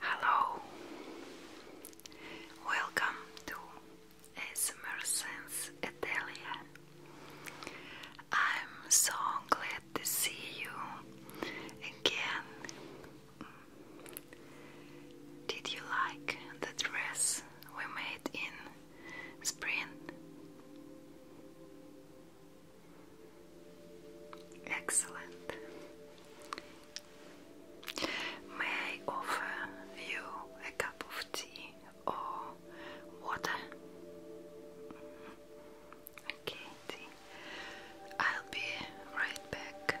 Hello, welcome to ASMR Sense I'm so glad to see you again. Did you like the dress we made in spring? Excellent. May I offer you a cup of tea or water? Okay, I'll be right back.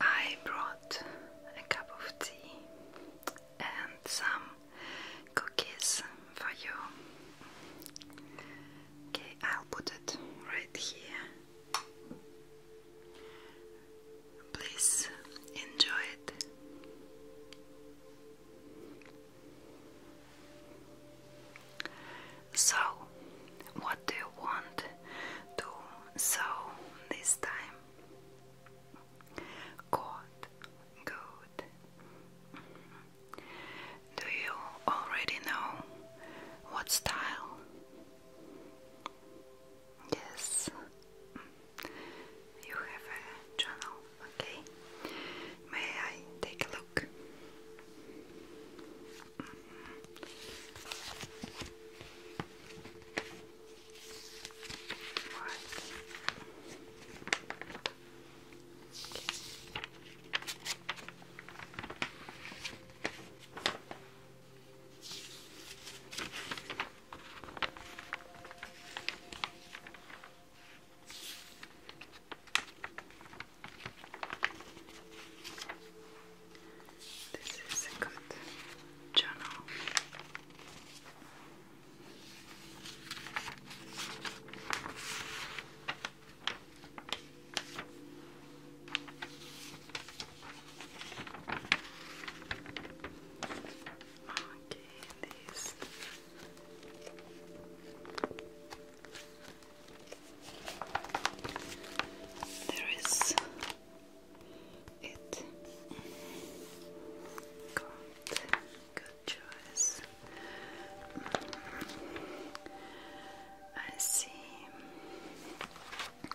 I brought a cup of tea and some cookies for you. Okay, I'll put it right here. Please enjoy it. So, what do you want to sew this time? Good, good. Do you already know what style? Yes. You have a journal, okay? May I take a look? This is a good journal. Okay, this there is it. Good, good choice. I see.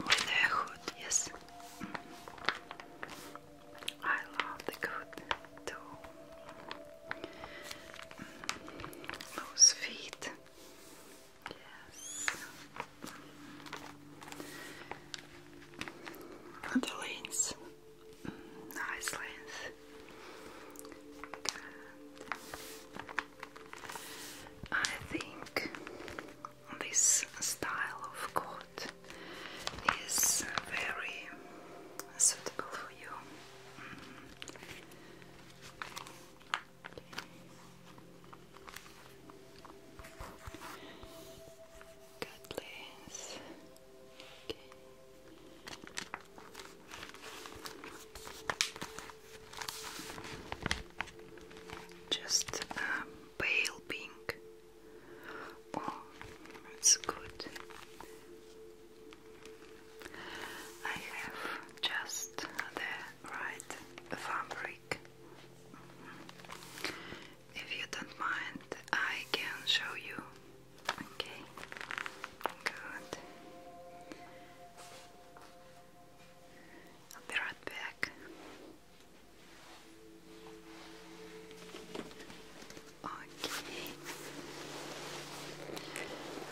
With a yes. I love the good too. those mm, feet. Yes. the lens. Mm, nice lens. I think this style of coat is very suitable for you. Mm Just um, pale pink. Oh, that's good. I have just the right fabric. Mm-hmm. If you don't mind, I can show you. Okay, good. I'll be right back. Okay.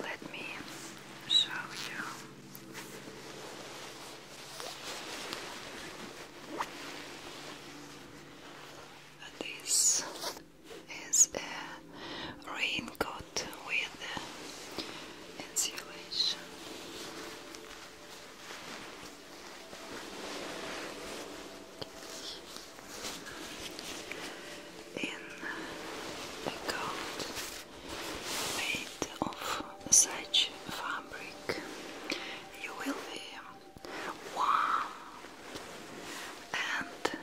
Let me show you. This is a raincoat with insulation in a coat made of such fabric, you will be warm and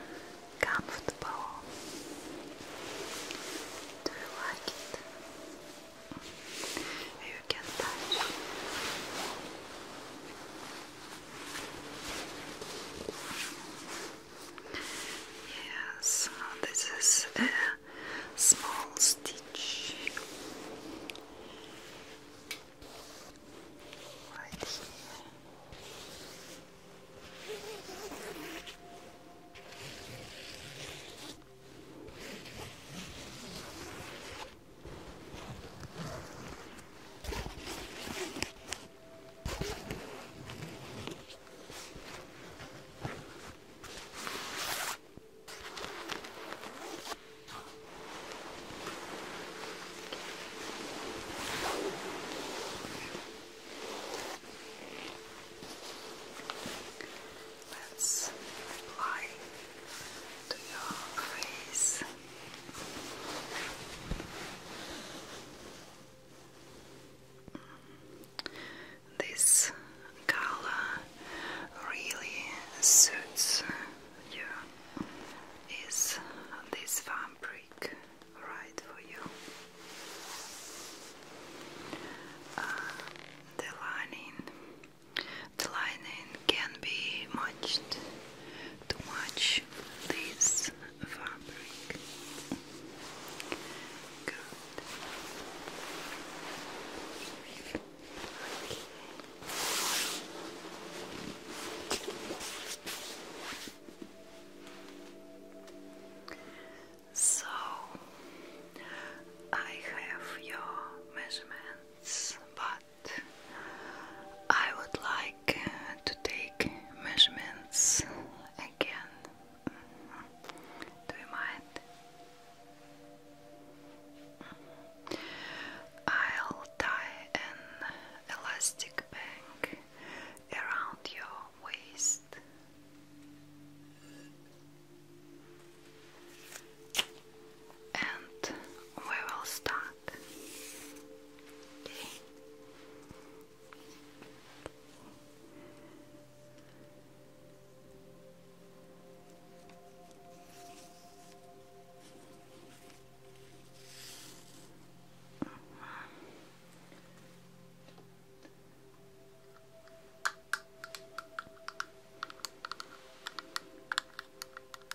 comfortable. Do you like it? You can touch. Yes, uh, this is a small stitch right here. Let's apply to your face. This color really suits you. Is this fabric right for you? Uh, the lining, the lining can be matched to watch this fabric. So I have your measurements, but I would like uh, to take measurements again. Do you mind? I'll tie an elastic band around your waist and we will start.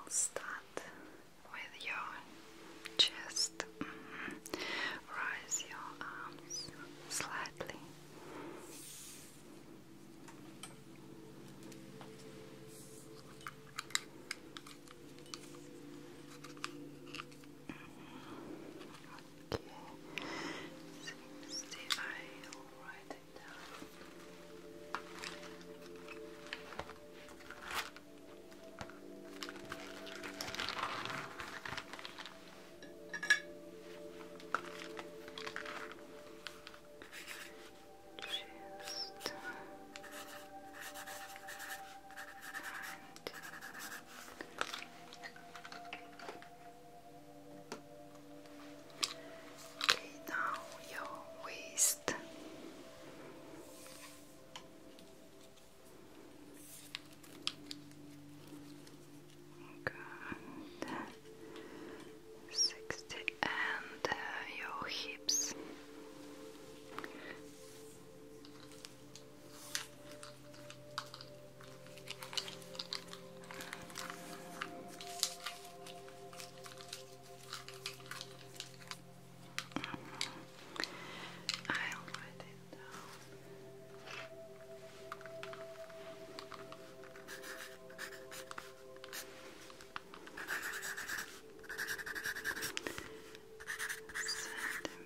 I'll start with your chest. Mm your arms slightly. Okay. Sixty. I'll write it down. Just uh, now your waist. Good. Sixty and uh, your hips. I'll write it down.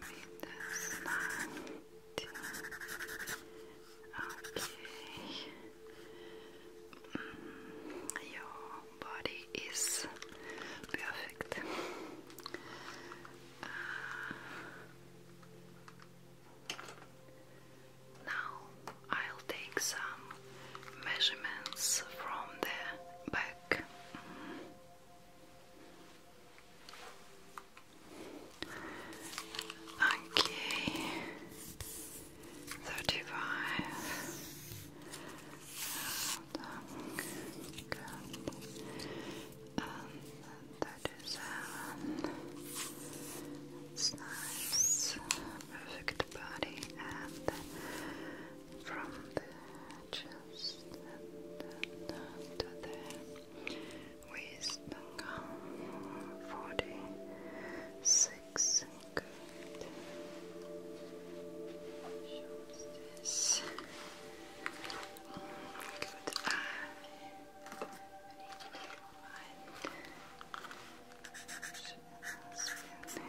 Centimeters nine Okay. Mm, your body is perfect. Uh, now I'll take some measurements from the back. Okay, thirty-five. And thirty-seven. It's nice, perfect body, and from the chest and, to there with Bengal forty six grade shows this good eye Fifty-five, okay, four,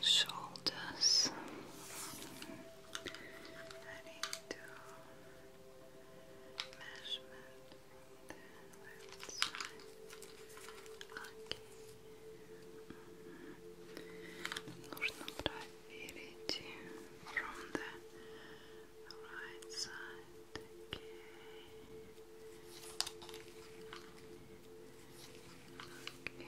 shoulders. I need measurement from the left side. from the right side. Okay centimeters. And um,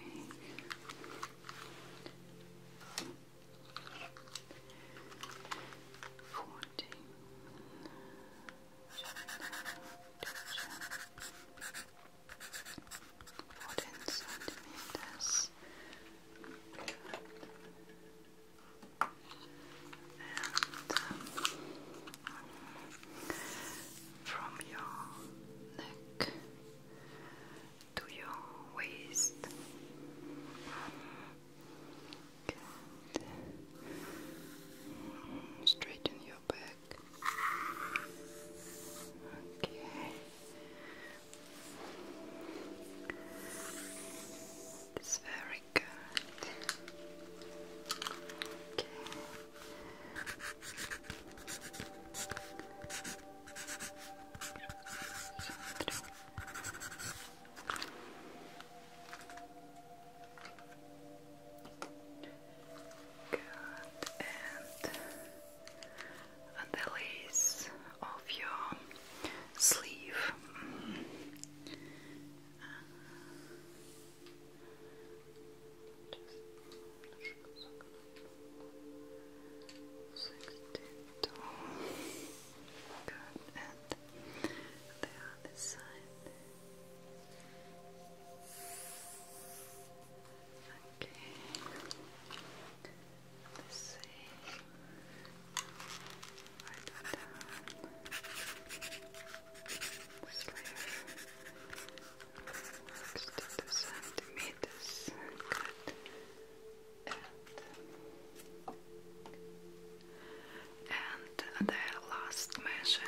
from your neck to your waist. Straighten your back. Okay. It's very good. Okay. Good, and the lace of your sleeve. Mm. 62. Good. And the other side. Okay. The same. Right down. 62 centimeters. And, uh, the last measure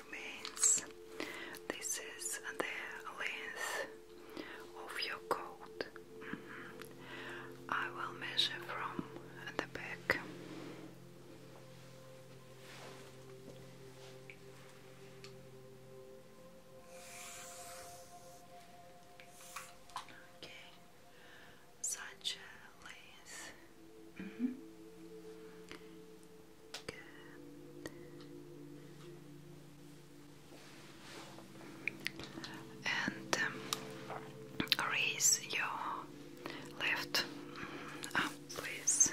remains. This is the length of your coat. Mm-hmm. I will measure from the back. Okay, such -hmm. Good. And um, raise your left arm, please.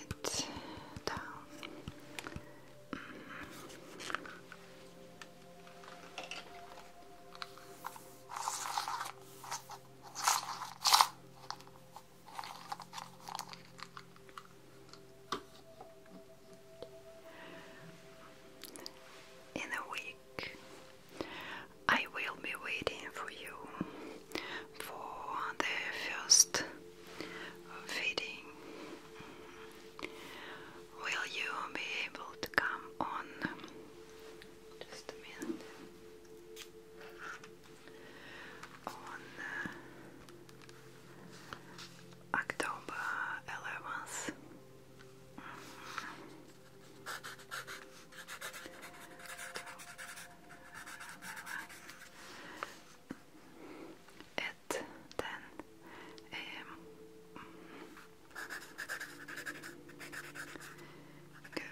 it down. Mm. In a week, I will be waiting for you for the first feeding. Will you be able to come on? Just a minute. On uh, October 11th at 10 a.m. Good.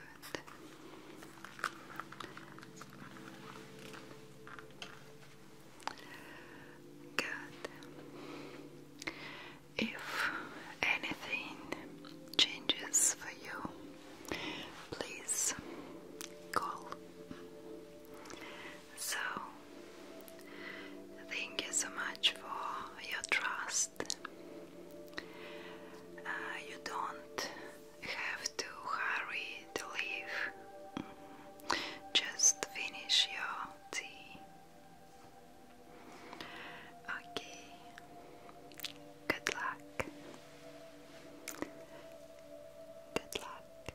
Good. If anything changes for you, please call. So, thank you so much for your trust. Uh, you don't have to hurry to leave, just finish your tea. Okay, good luck. Good luck.